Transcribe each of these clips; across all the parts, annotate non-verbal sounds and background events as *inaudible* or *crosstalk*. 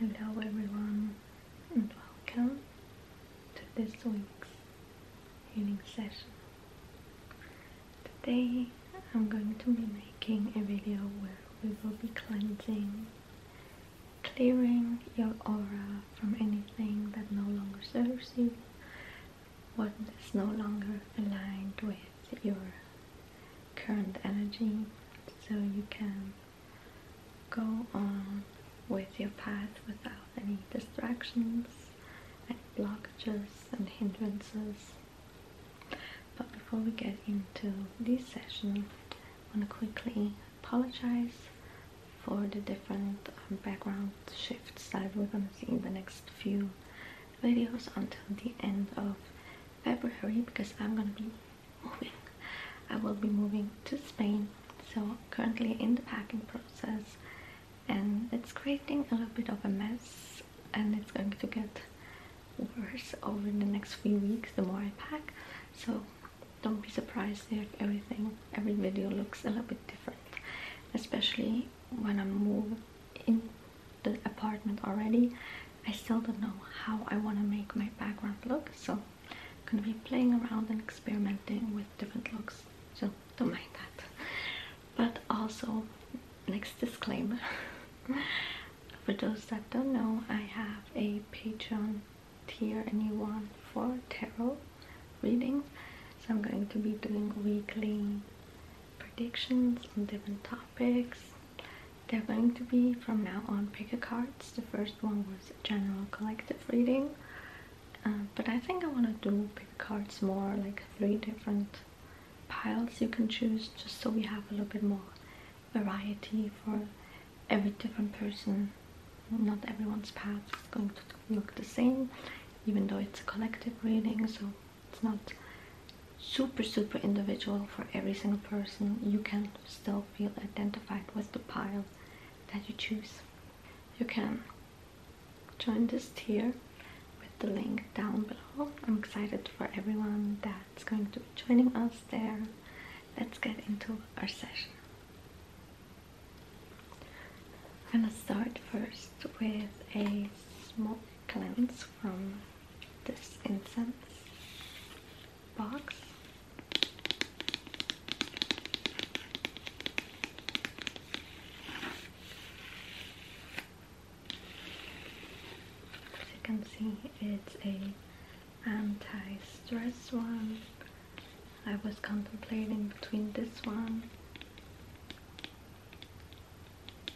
Hello everyone and welcome to this week's healing session. Today I'm going to be making a video where we will be cleansing, clearing your aura from anything that no longer serves you, what is no longer aligned with your current energy so you can go on with your path without any distractions and blockages and hindrances but before we get into this session I want to quickly apologize for the different um, background shifts that we're going to see in the next few videos until the end of February because I'm going to be moving. I will be moving to Spain, so currently in the packing process and it's creating a little bit of a mess and it's going to get worse over the next few weeks the more I pack so don't be surprised if everything every video looks a little bit different especially when I move in the apartment already. I still don't know how I want to make my background look, so I'm gonna be playing around and experimenting with different looks, so don't mind that. But also, next disclaimer *laughs* for those that don't know, I have a Patreon tier, and you want for tarot readings, so I'm going to be doing weekly predictions on different topics topics. They're going to be from now on pick a cards. The first one was general collective reading, um, but I think I want to do pick a cards more, like three different piles you can choose, just so we have a little bit more variety for every different person. Not everyone's path is going to look the same, even though it's a collective reading, so it's not super super individual for every single person you can still feel identified with the pile that you choose you can join this tier with the link down below i'm excited for everyone that's going to be joining us there let's get into our session i'm gonna start first with a small cleanse from this incense box. As you can see, it's a anti-stress one. I was contemplating between this one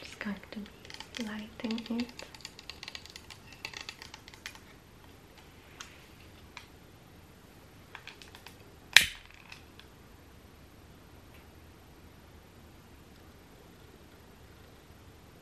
Just going to be lighting it.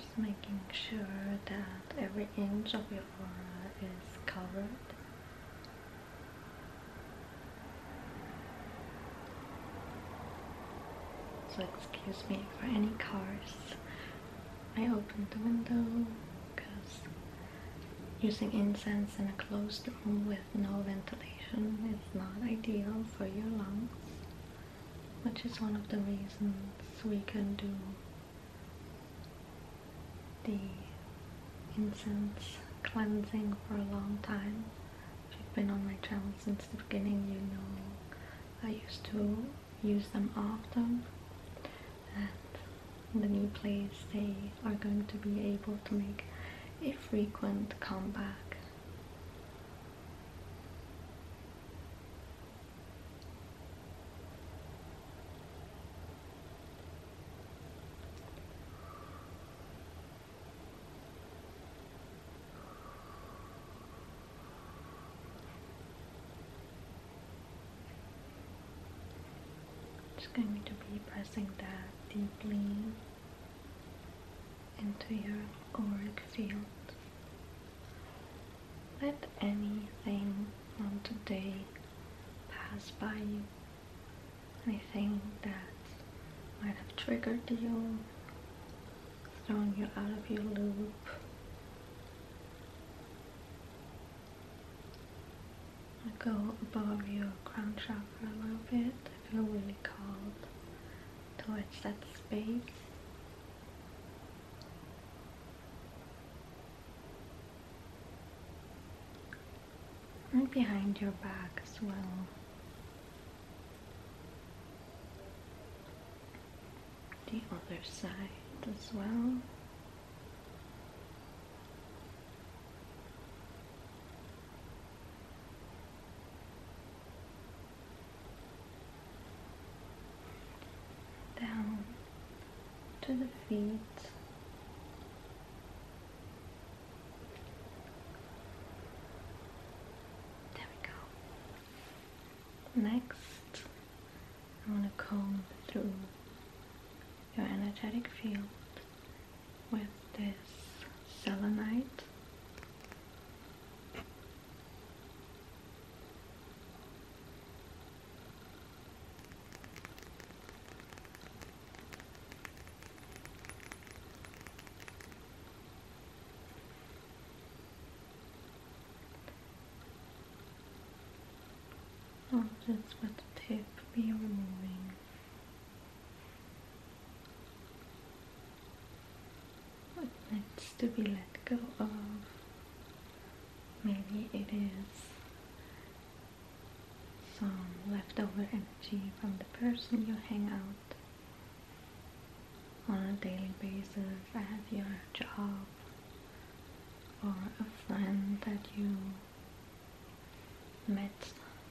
Just making sure that every inch of your aura is covered. So excuse me for any cars. I opened the window because Using incense in a closed room with no ventilation is not ideal for your lungs, which is one of the reasons we can do the incense cleansing for a long time. If you've been on my channel since the beginning, you know I used to use them often the new place they are going to be able to make a frequent comeback. Just going to be pressing that deeply into your auric field. Let anything from today pass by you. Anything that might have triggered you, thrown you out of your loop i go above your crown chakra a little bit. I feel really called towards that space. And behind your back as well. The other side as well down to the feet. There we go. Next, I want to comb through your energetic field with this selenite. All this with the tip be removing what needs to be let go of maybe it is some leftover energy from the person you hang out on a daily basis at your job or a friend that you met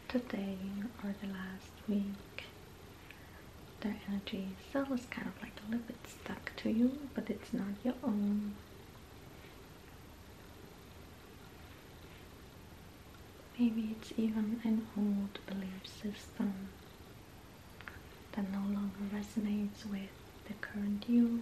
today or the last week, their energy itself is kind of like a little bit stuck to you, but it's not your own. Maybe it's even an old belief system that no longer resonates with the current you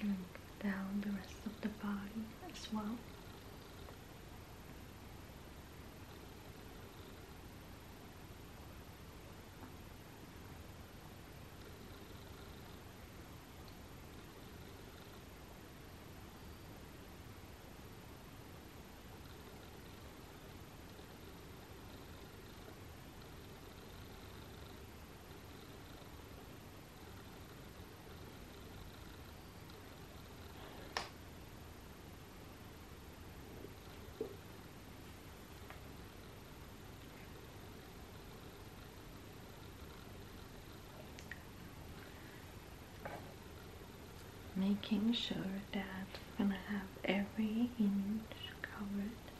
and down the rest of the body as well making sure that we're gonna have every inch covered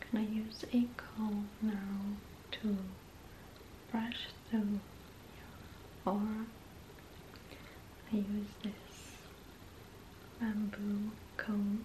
can I use a comb now to brush through your aura? I use this bamboo comb.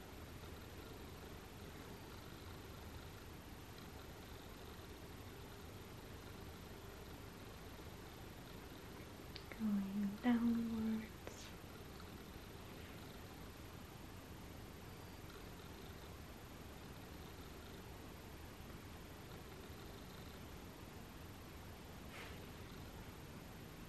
Going downwards.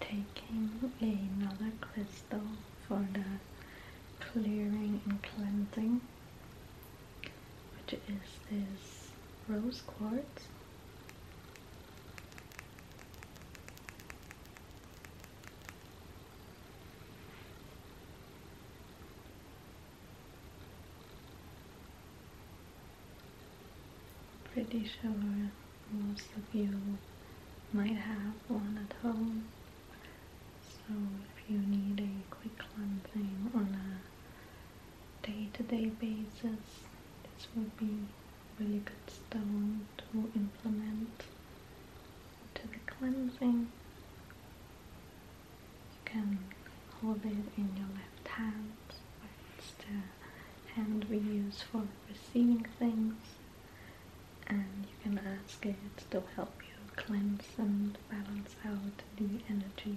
taking another crystal for the clearing and cleansing which is this rose quartz pretty sure most of you might have one at home. So if you need a quick cleansing on a day-to-day basis, this would be really good stone to implement to the cleansing. You can hold it in your left hand, which is the hand we use for receiving things and you can ask it to help you cleanse and balance out the energies.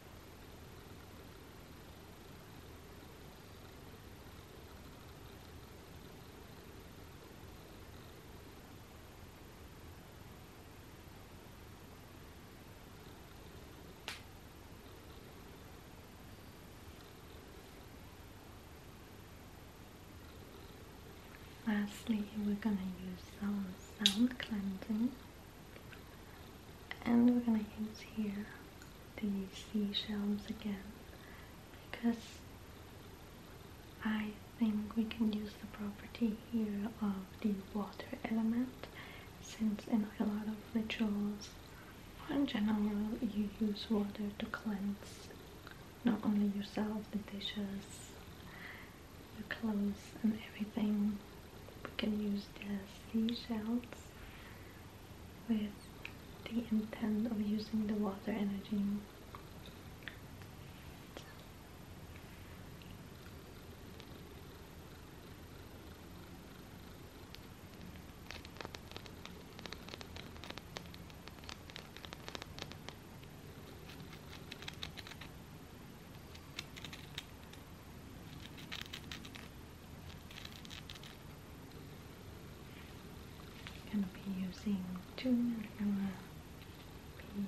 Lastly, we're gonna use sound cleansing and we're gonna use here the seashells again because I think we can use the property here of the water element since in a lot of rituals in general you use water to cleanse not only yourself, the dishes, your clothes and everything we can use the shells with the intent of using the water energy. I'm gonna be using two and i to be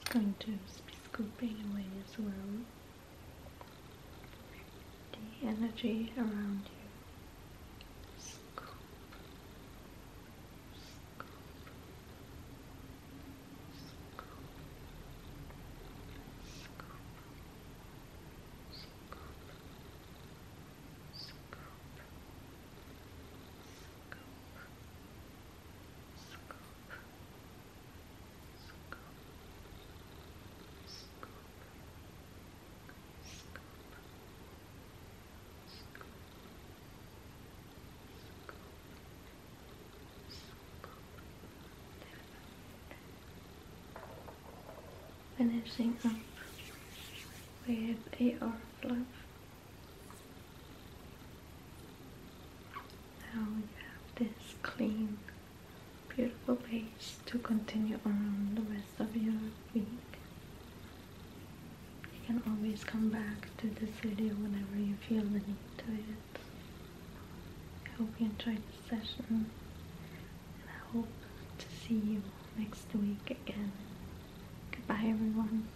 It's going to be scooping away as well the energy around you scoop, scoop, Finishing up with AR fluff now you have this clean, beautiful page to continue on the rest of your week. You can always come back to this video whenever you feel the need to it. I hope you enjoyed this session and I hope to see you next week again. Goodbye everyone.